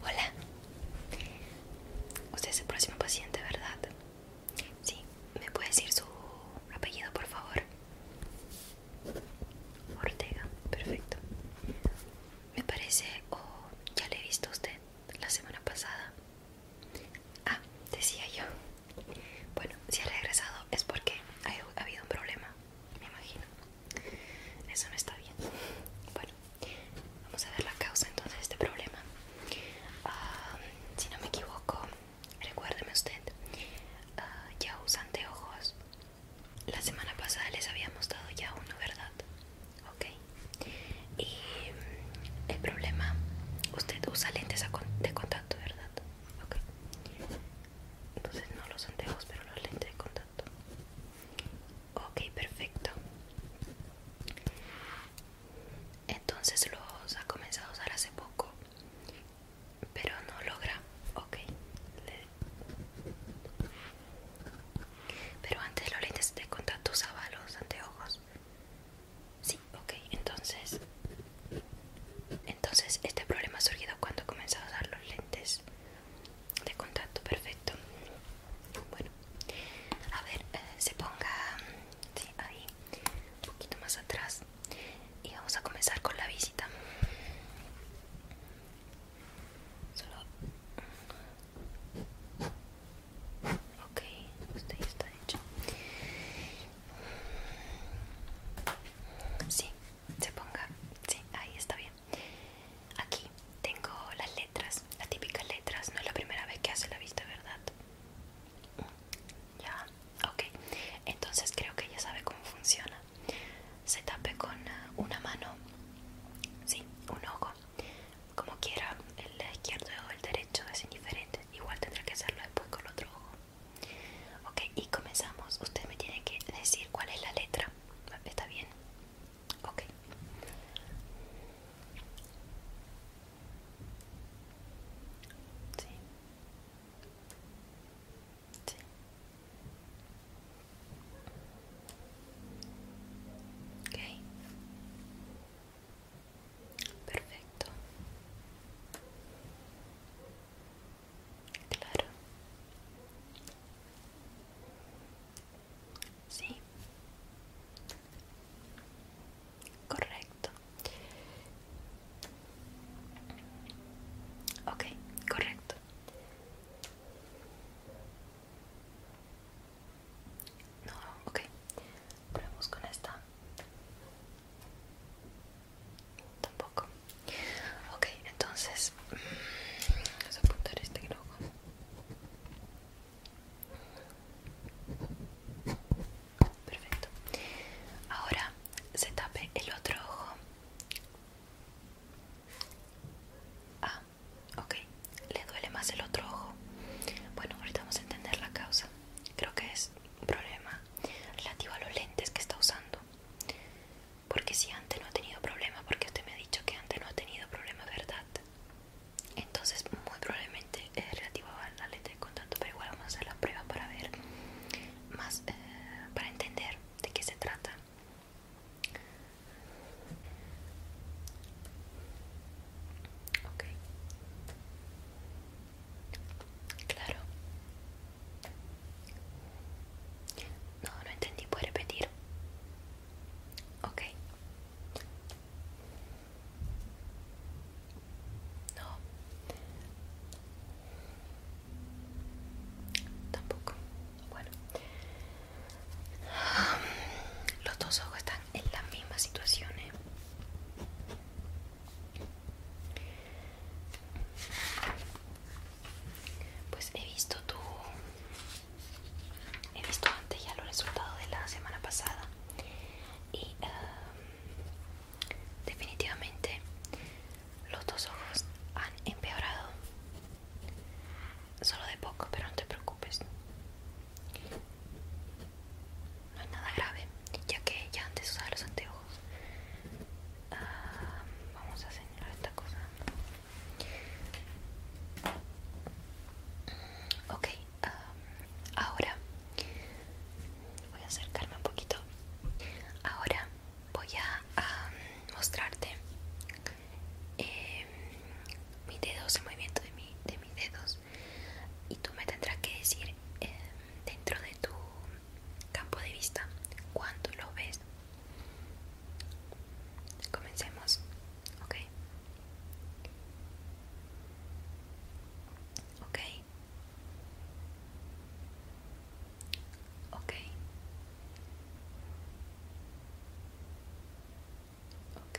Hola. Usted es el próximo paciente, ¿verdad? Sí, ¿me puede decir su apellido, por favor? Ortega, perfecto. Me parece, o ya le he visto a usted la semana pasada. Ah, decía yo. Bueno, si ha regresado es porque ha habido un problema, me imagino. Eso no está bien. Bueno, vamos a ver la causa entonces de este problema. Ah, si no me equivoco, recuérdeme usted, ah, ya usa anteojos. La semana pasada les habíamos dado ya uno, ¿verdad? Ok. Y mm, el problema, usted usa lentes de contacto, ¿verdad? Ok. Entonces no los anteojos, pero los lentes de contacto. Ok, perfecto. Entonces los ha comenzado a usar hace poco, pero no logra. Ok. Le... Pero antes los lentes de contacto usaba los anteojos. Sí, ok, entonces Entonces este problema ha surgido cuando comenzó a usar los lentes De contacto, perfecto Bueno, a ver, eh, se ponga ahí Un poquito más atrás Y vamos a comenzar con la visita Solo Ok, usted ya está hecho Sí, se ponga. Sí, ahí está bien. Aquí tengo las letras, las típicas letras. No es la primera vez que hace la vista, ¿verdad? Ya, ok. Entonces creo que ya sabe cómo funciona. Se tape con eh, una mano, sí, un ojo, como quiera, el izquierdo o el derecho es indiferente. Igual tendrá que hacerlo después con el otro ojo. Okay, y comenzamos. Usted me tiene que decir cuál es la letra. ¿Está bien? Ok. Perfecto. Claro. Sí. Correcto. Ok, correcto. No, ok. Probemos con esta. Tampoco. Ok, entonces mm, vamos a apuntar este globo. Perfecto. Ahora se tape el otro ojo. Ah, ok. Le duele más el otro ojo. Bueno, ahorita vamos a entender la causa. Creo que es un problema relativo a los lentes que está usando porque si antes no ha tenido problema porque usted me ha dicho que antes no ha tenido problemas verdad entonces muy probablemente es relativo a la lente Con tanto, pero igual vamos a hacer la prueba para ver más eh, para entender de qué se trata ok Claro. No, no entendí, puede repetir. Ok. No. Tampoco. Bueno. Los dos ojos están en las mismas situación. ¿eh? Pues he visto tu... He visto antes ya los resultados de la semana pasada y ah, definitivamente los dos ojos han empeorado. Solo de poco, pero no te preocupes. No es nada grave ya que ya antes usaba los anteojos ah, vamos a señalar esta cosa ok ah, ahora voy a acercarme un poquito ahora voy a mostrarte eh, mi mis dedos el movimiento de, mis dedos y tú me tendrás que decir eh, dentro de tu campo de vista cuando lo ves. Comencemos, ok. Ok. Ok.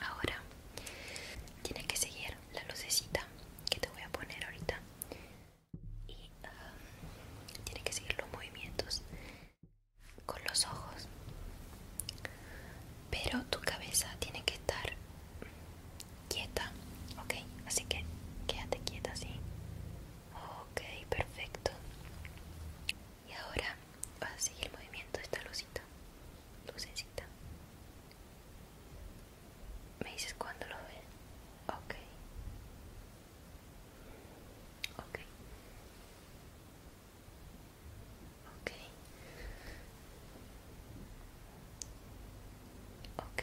Ahora tiene que seguir la lucecita que te voy a poner ahorita y ah, tiene que seguir los movimientos con los ojos. Pero tu cabeza tiene que estar quieta, ok? Así que quédate quieta así. Ok, perfecto y ahora vas a seguir el movimiento de esta lucita lucecita me dices cuando lo ves ok ok ok ok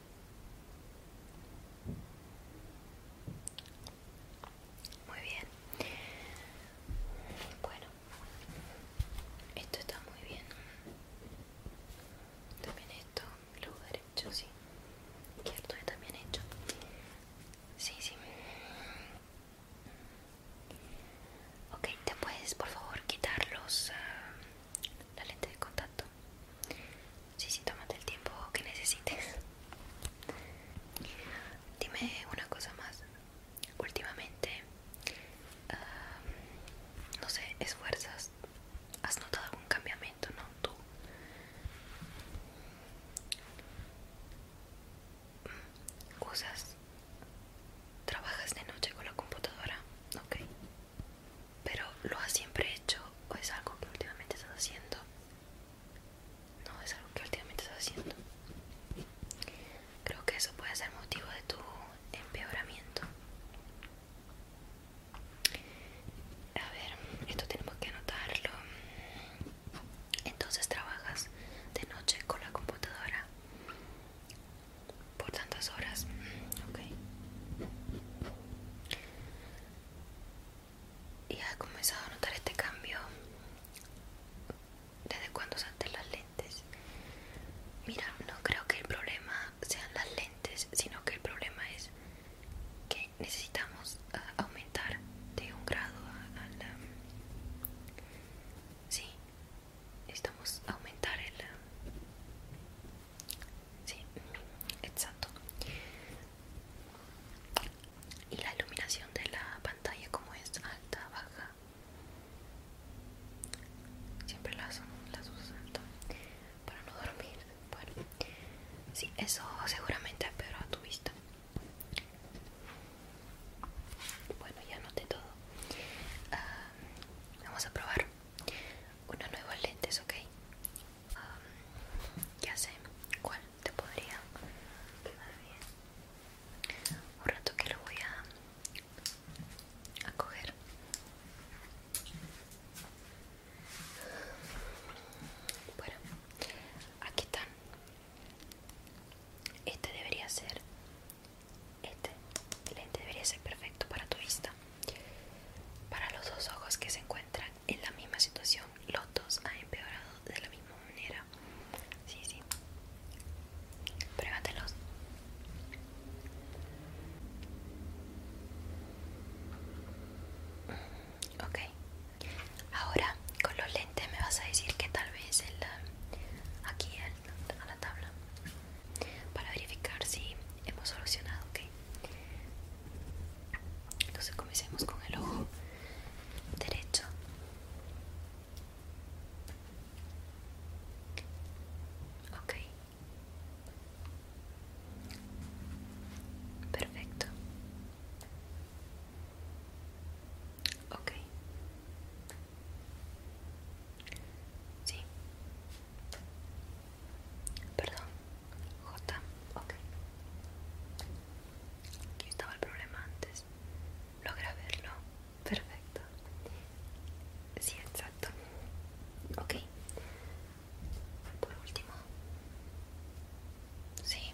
Muy bien. Bueno, esto está muy bien. También esto, luego derecho, sí. Izquierdo también hecho. Sí, sí. Ok, te puedes por favor quitar ah, la lente de contacto. Sí, sí, tómate el tiempo que necesites. Dime una cosa más. Últimamente, ah, no sé, esfuerzas. ¿Has notado algún cambiamento, no? Tú. cosas mm, ¿Trabajas de noche con la computadora? Ok pero lo has siempre hecho o es algo que últimamente estás haciendo no es algo que últimamente estás haciendo creo que eso puede ser motivo de tu empeoramiento a ver esto tenemos que anotarlo entonces trabajas de noche con la computadora por tantas horas ok y has comenzado a notar este cambio desde cuando salten las lentes. Mira, no creo que el problema sean las lentes, sino que el problema es que necesitamos ah, aumentar de un grado a la... sí, necesitamos aumentar el, Sí, exacto. Y la iluminación de la pantalla como es alta, baja. Siempre las, las uso para no dormir. Bueno, sí, eso seguramente peor a tu vista. Bueno, ya noté todo. Ah, vamos a probar una nueva lentes, ¿ok? ya sé cuál te podría quedar bien. Un rato que lo voy a, a coger. Bueno, aquí están. Este debería ser. Este lente debería ser perfecto para tu vista. Para los dos ojos que se encuentran en la misma situación, los dos han empeorado de la misma manera. Sí, sí. Pruébatelos. Mm, ok. Ahora con los lentes me vas a decir que tal vez el, ah, aquí a la tabla para verificar si hemos solucionado, ok. Entonces comencemos con el ojo derecho. Ok. Perfecto. Ok. Sí. Perdón, J, ok. Aquí estaba el problema antes. Logra verlo. Perfecto. Sí, exacto. Ok. Por último. Sí.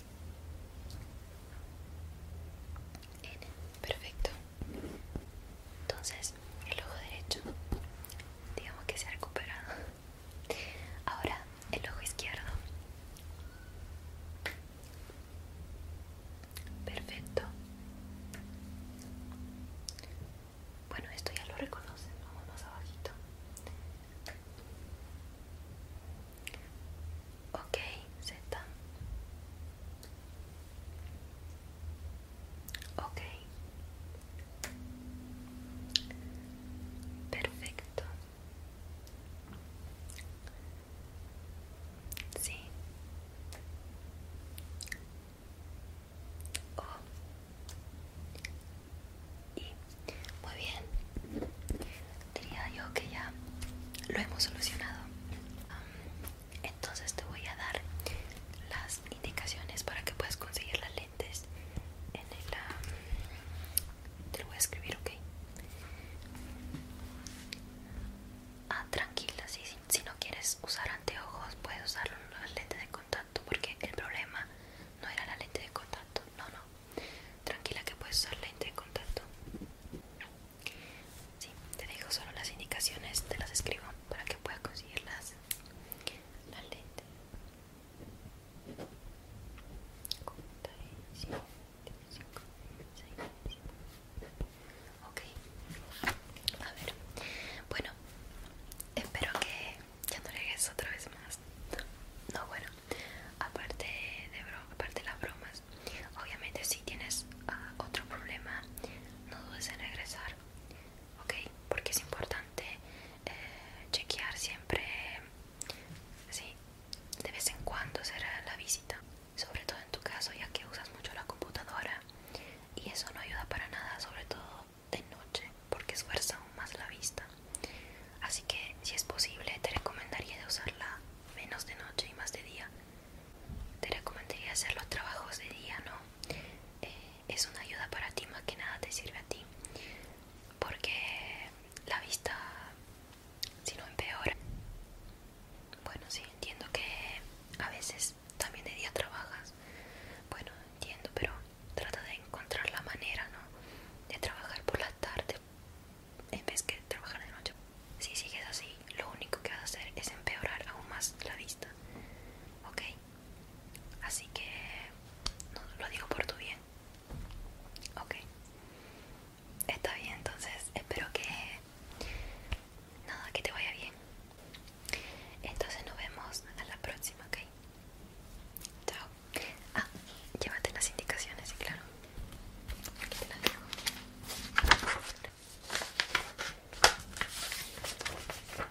Perfecto. Entonces, el ojo derecho, digamos que se ha recuperado. Ahora el ojo izquierdo. Perfecto. Bueno, esto ya lo reconocen. Vamos más abajito. Ok, Z. Ok. Perfecto. Sí. O. Oh. Y. Muy bien. Diría yo que ya lo hemos solucionado. entonces te voy a dar las indicaciones para que puedas conseguir las lentes Ah, te lo voy a escribir, ¿ok? Ah, tranquila, si no quieres usar anteojos, puedes usar las lentes de contacto porque el problema no era la lente de contacto, no, no. Tranquila que puedes usar lente de contacto. Sí, te dejo solo las indicaciones, te las escribo para que puedas conseguirlas las, las lentes. Ok, a ver, bueno, espero que ya no llegues otra vez más. No, bueno, aparte de, aparte de las bromas, obviamente si tienes ah, otro problema, no dudes en regresar, ok, porque es importante eh, chequear siempre, sí, de vez en cuando hacer la visita, sobre todo en tu caso ya que usas mucho la computadora y eso no ayuda para nada, sobre todo de noche, porque esfuerza aún más la vista. Así que si es posible te recomendaría de usarla menos de noche y más de día. Te recomendaría hacer los trabajos de día, ¿no? Eh, es una ayuda para ti, más que nada te sirve a ti, porque la vista, si no empeora, bueno, sí, entiendo que a veces también de día trabajas, bueno, entiendo, pero trata de encontrar la manera, ¿no? De trabajar por la tarde en vez que trabajar de noche. Si sigues así, lo único que vas a hacer es empeorar aún más la vista, ¿ok? Así que no, lo digo por tu bien. Ok. Está bien, entonces espero que... Nada, que te vaya bien. Entonces nos vemos a la próxima, ¿ok? Chao. Ah, llévate las indicaciones, sí, claro. Aquí te las dejo.